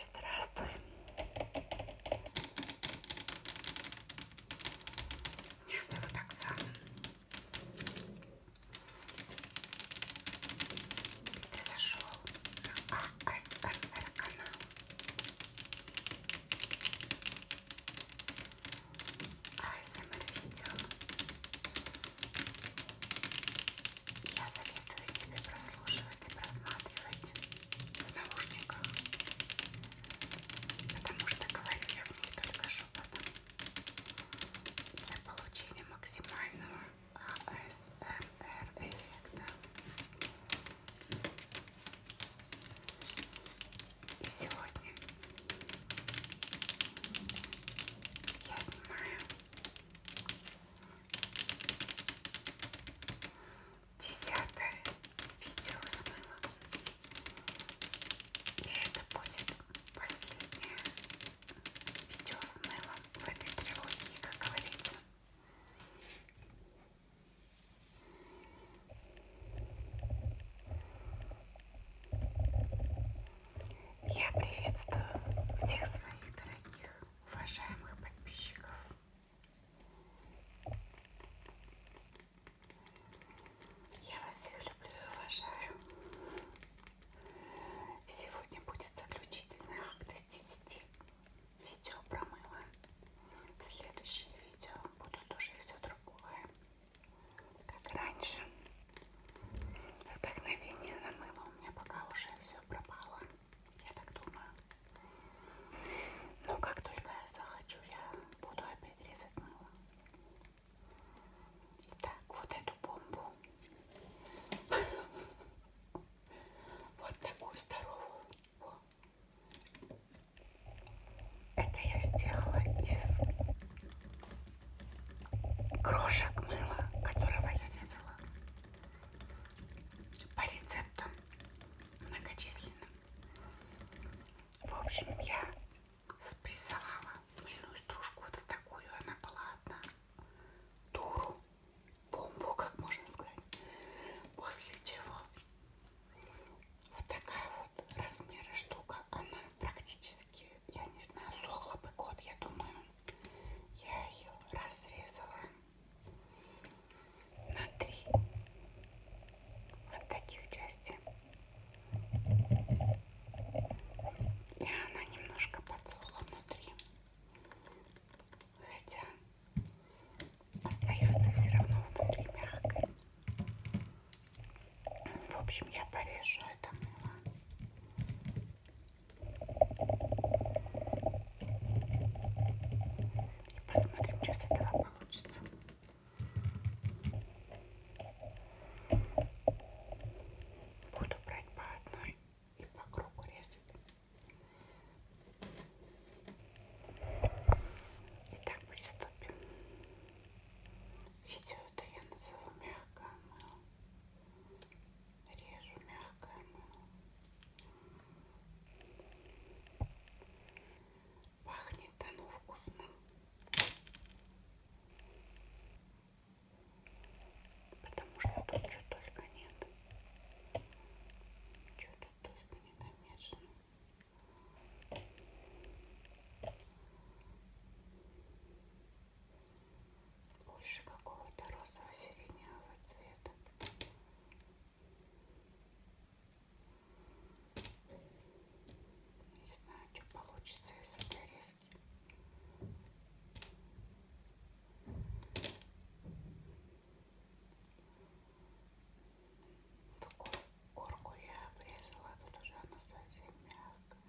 Здравствуй. Меня зовут Оксана. Ты зашел на АСМР канал. ASMR-видео. А, я советую тебе прослушивать и просматривать в наушниках, потому что говорю я в них только шепотом для получения максимального ASMR-эффекта. А и сегодня я снимаю десятое видео с мылом. И это будет последнее видео с мылом в этой трилогии, как говорится. Я приветствую всех своих дорогих, уважаемых подписчиков. Я вас всех люблю и уважаю. Сегодня будет заключительный акт из 10 видео про мыло. Следующие видео будут уже все другое как раньше. Вдохновение на мыло у меня пока уже все пропало, я так думаю. Но как только я захочу, я буду опять резать мыло. Так, вот эту бомбу. Вот такую здоровую. Это я сделала из крошек мыла, которого я резала по рецептам многочисленным. В общем, я спрессовала мыльную стружку вот в такую, она была одна. Туру, бомбу, как можно сказать. После чего вот такая вот размера штука. Она практически, я не знаю, сохла бы год, я думаю. Я ее разрезала на три вот таких части. И она немножко подсохла внутри. Хотя остается все равно внутри мягкой. В общем, я порежу это мыло. И посмотрим, что с этого получится. Буду брать по одной и по кругу резать. Итак, приступим. Видео это я назову мягкое мыло. Режу мягкое мыло. Пахнет оно вкусно. Потому что тут что только нет. Что тут только не намешано больше какого-то розово-сиреневого цвета. Не знаю, что получится из этой резки. Такую корку я обрезала, тут уже она совсем мягкая.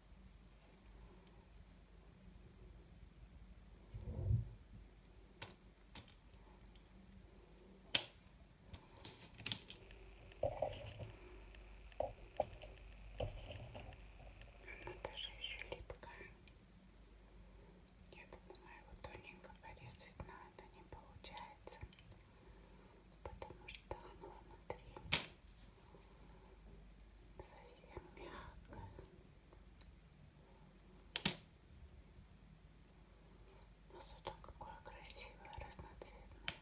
Она даже еще липкая. Я думала, его тоненько порезать, но это не получается, потому что оно внутри совсем мягкая. Но зато какое красивое, разноцветное.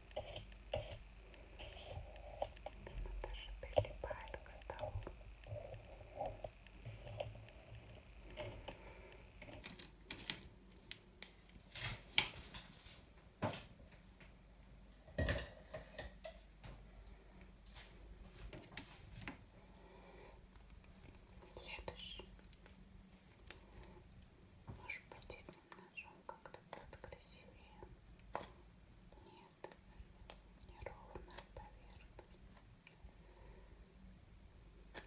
Она даже прилипает к столу. Следующий. Может быть, немножко ножом как-то будет красивее. Нет, неровная поверхность. Итак,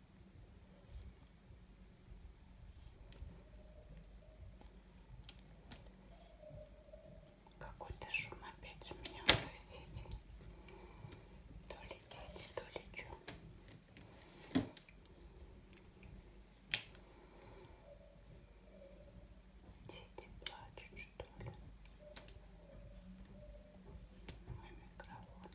Какой-то шум опять у меня у соседей. То ли дети, то ли что. Дети плачут, что ли? Мой микрофон.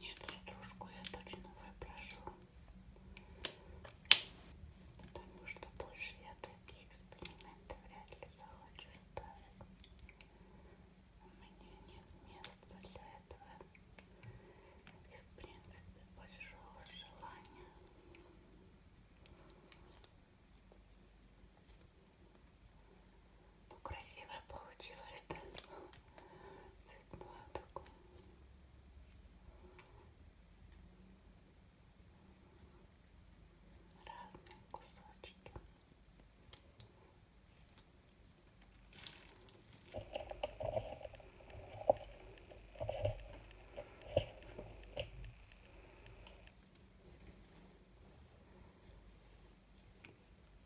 Нет, стружку я точно выброшу. Потому что больше я такие эксперименты вряд ли захочу ставить. У меня нет места для этого. И в принципе большого желания. Ну, красивая получилась, да? Цветное такое. Разные кусочки.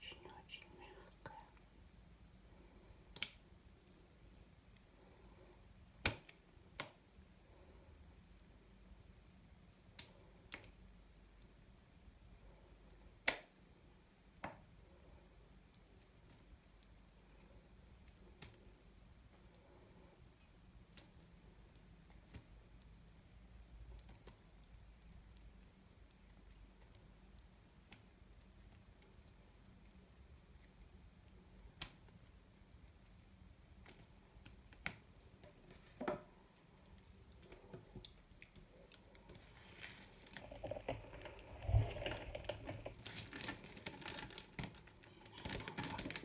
очень-очень мягкая.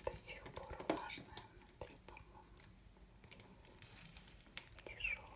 До сих пор влажная внутри, по-моему, тяжелая.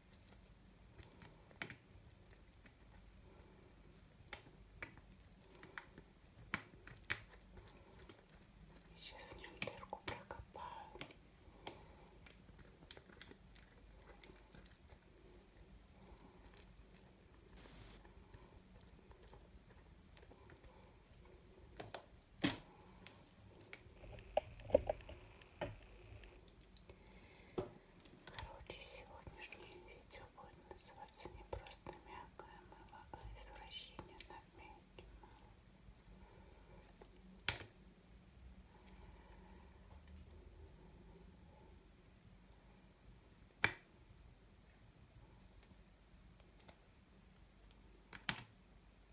Сейчас в нем дырку прокопаю. Короче, сегодняшнее видео будет называться не просто мягкое мыло, а извращение над мягким мылом. Итак,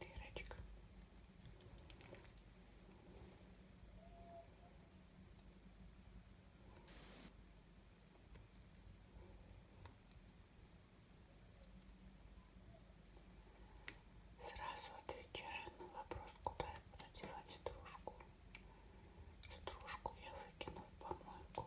дырочка. Сразу отвечаю на вопрос, куда я буду девать стружку. Стружку я выкину в помойку.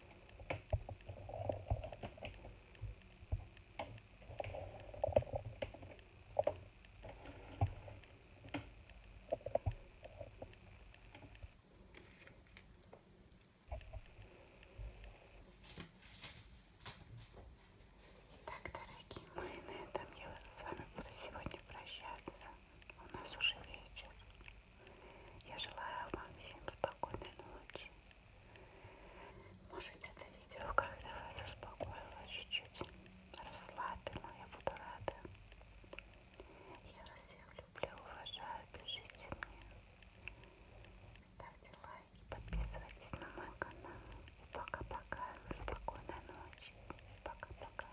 Итак, дорогие мои, на этом я с вами буду сегодня прощаться. У нас уже вечер. Я желаю вам всем спокойной ночи. Может, это видео, когда вас успокоило чуть-чуть, расслабило, я буду рада. Я вас всех люблю, уважаю, пишите мне. Ставьте лайки, подписывайтесь на мой канал. И пока-пока, спокойной ночи. Пока-пока.